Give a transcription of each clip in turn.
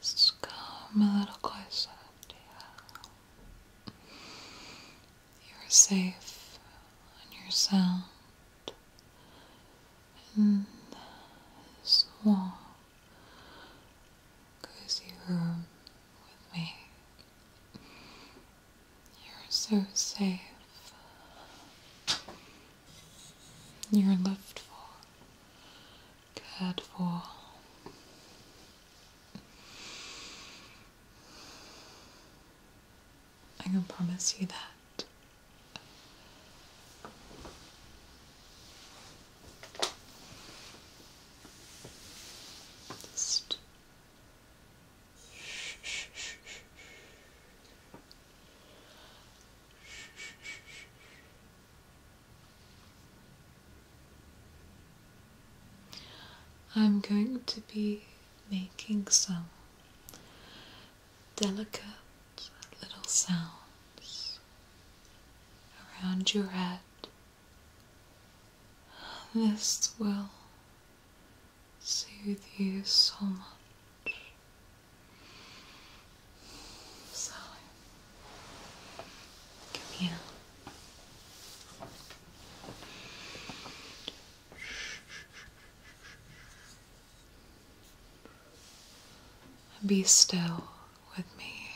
Let's come a little closer to you. are safe on your sound in this warm Cause you were with me. You're so safe. You're lived for, cared for. I can promise you that. Just I'm going to be making some delicate little sounds around your head. This will soothe you so much. So, come here. Be still with me.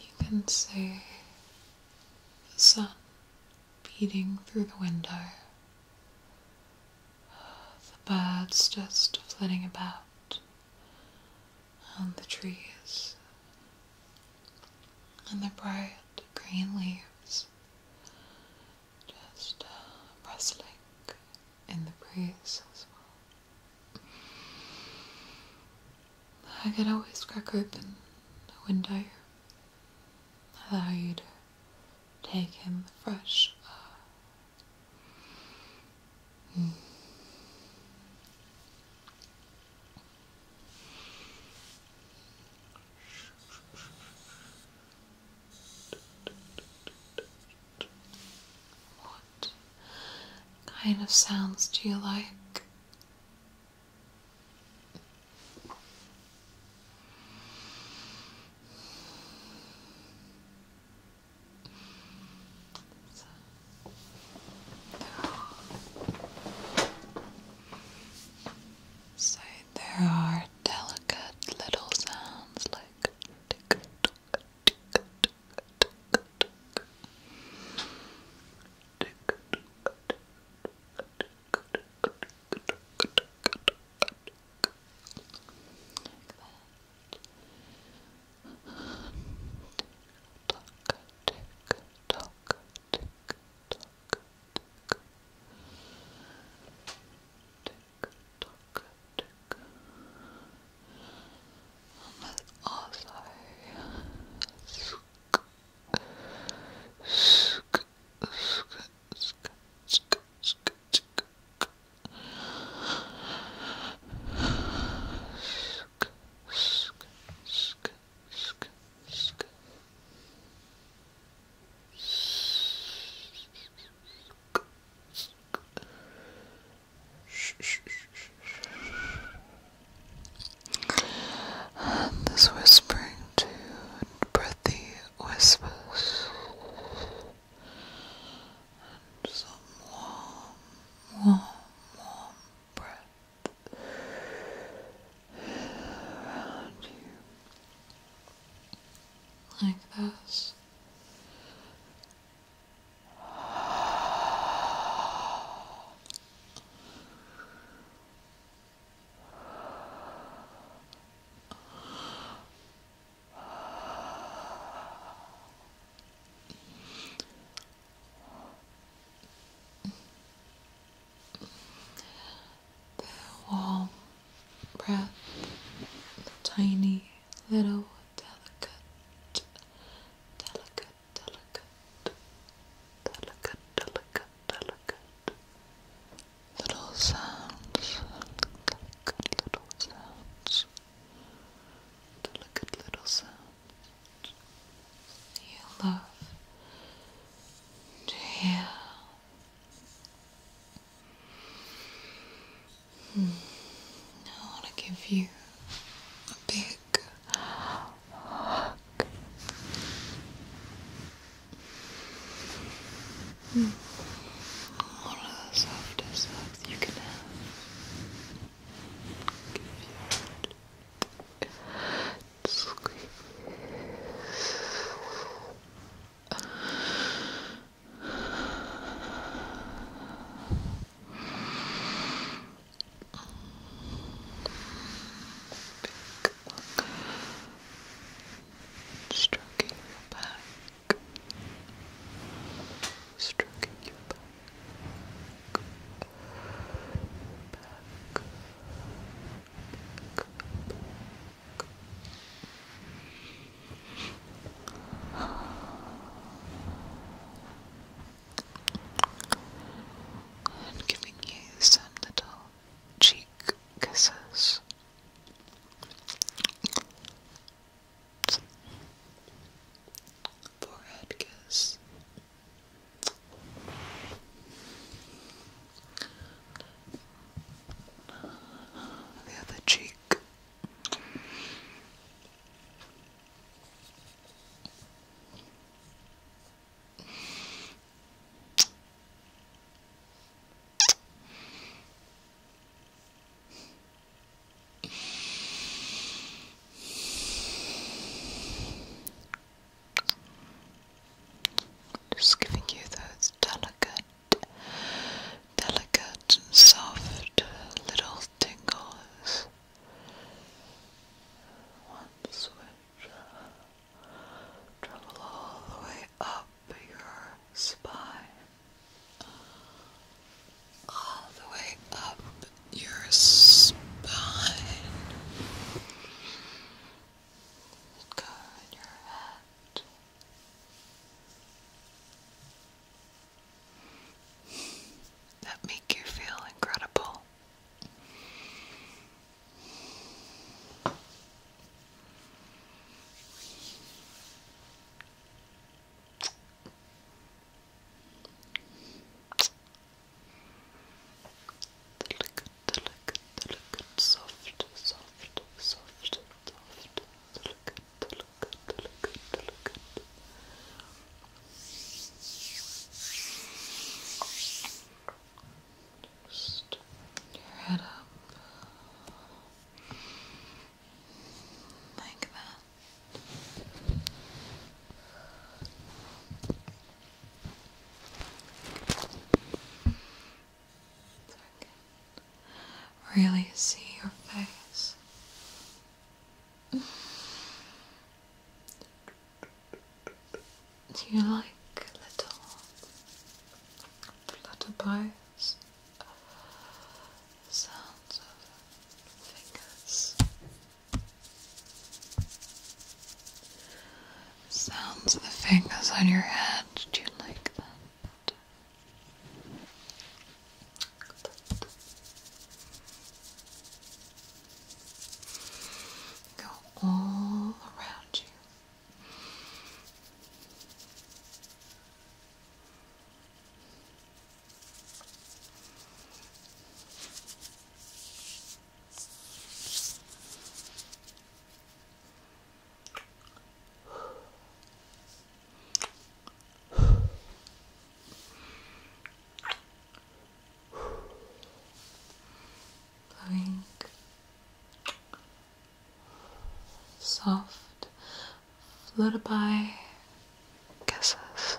You can see the sun beating through the window, the birds just flitting about, and the trees, and the bright green leaves just uh, rustling in the breeze I could always crack open a window, allow you to take in the fresh air. Hmm. What kind of sounds do you like? So there are delicate little sounds like tick tick tick tock tick and that's also sk sk sk sk sk sk sk Sk, sk, sk, sk, sk this whispering too, and breathy whispers, and some warm, warm, warm breath around you like this the warm breath, the tiny little delicate, delicate, delicate, delicate, delicate, delicate little sounds, delicate little sounds, delicate little sounds. You love to hear Hmm. I want to give you a big hug. One hmm. of the softest hugs you can have. Give you Stroking your back, stroking your back, back, back, back, and giving you some little cheek kisses. Forehead kiss. The other cheek. Just giving you those delicate, delicate and soft little tingles. One switch. Travel all the way up your spine, all the way up your spine, let your head. That make you feel incredible delicate, delicate, soft, soft, soft, soft, delicate, delicate, delicate, delicate. Just your head up like that really see your face. Do you like little flutterbites? Sounds of fingers sounds of the fingers on your head. Do you like that? Go all around you. Going soft, fluttered by kisses.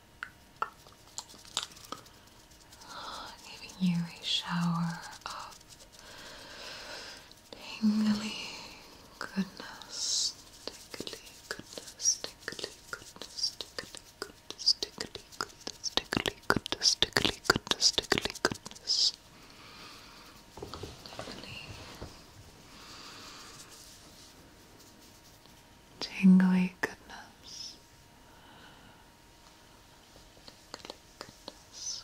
giving you a shower of tingly goodness, tingly goodness, tingly goodness, tingly goodness, tingly goodness, tingly goodness, tingly goodness, tingly goodness. Tingly tingly goodness. Tingly goodness.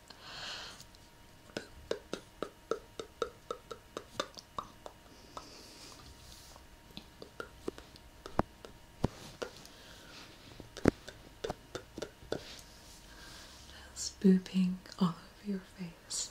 That's booping all over your face.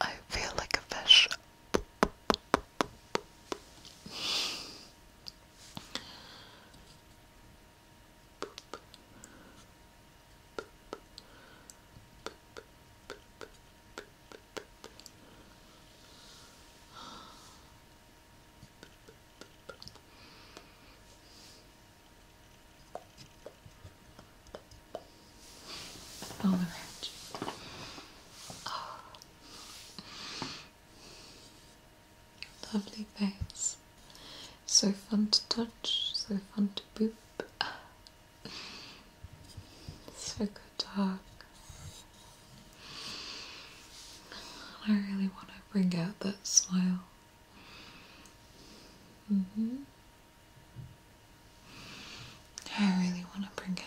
I feel like a fish. All the oh. Lovely face. So fun to touch, so fun to boop. So good to hug. I really want to bring out that smile. hmm I really want to bring it out.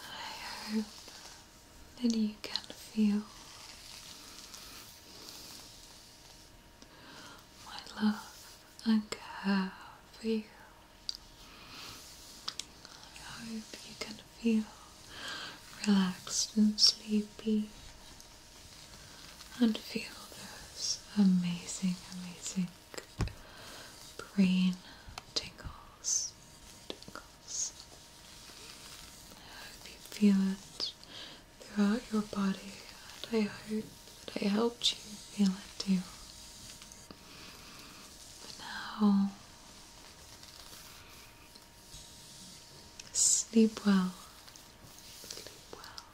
I hope that you can feel my love and care for you. I hope you can feel relaxed and sleepy and feel those amazing, amazing brain tingles. Tingles. I hope you feel it throughout your body, and I hope that I helped you feel it too. But now Sleep well. Sleep well.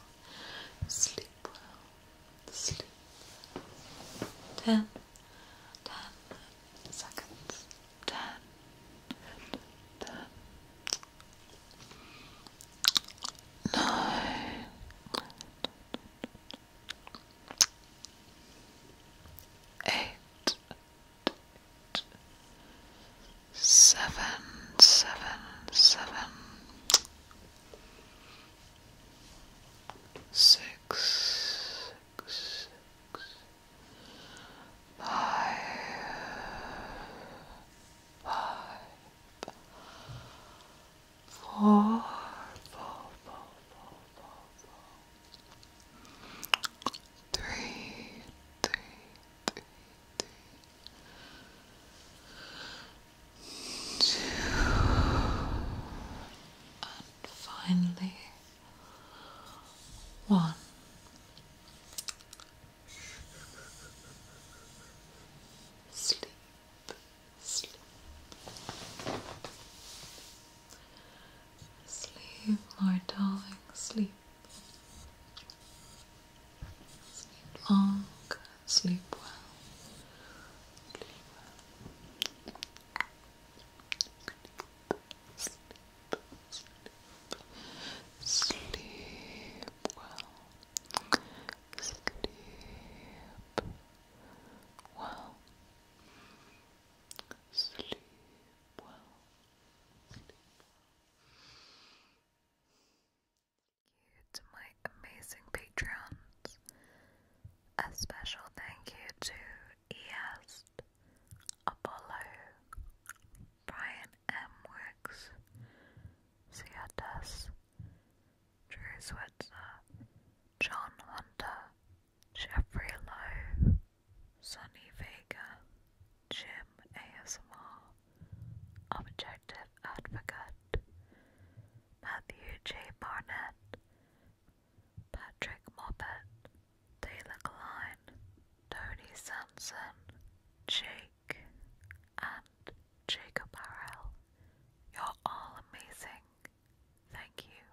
Sleep well. Sleep. Ten. Ten seconds. Ten. Ten. Nine. Eight seven, seven, seven, six, six, six five, five, four, four, four, four, four, four three, three, three, three, two, and finally one. Sleep, sleep. Sleep, my darling, sleep. Sleep long, sleep well. Sleep well. Sleep, sleep, sleep well. Sleep well. Sleep world. Thank you to my amazing patrons. A special thank you to EAST, Apollo, Brian M. Wicks, Seatus, Drew Switzer, John Hunter, Jeffrey Lowe, Sunny Vega, Jim ASMR, Objective Advocate, Matthew J. Barnett, Patrick Moppet, Taylor Klein, Tony Sanson, Jake, and Jacob Harrell. You're all amazing. Thank you.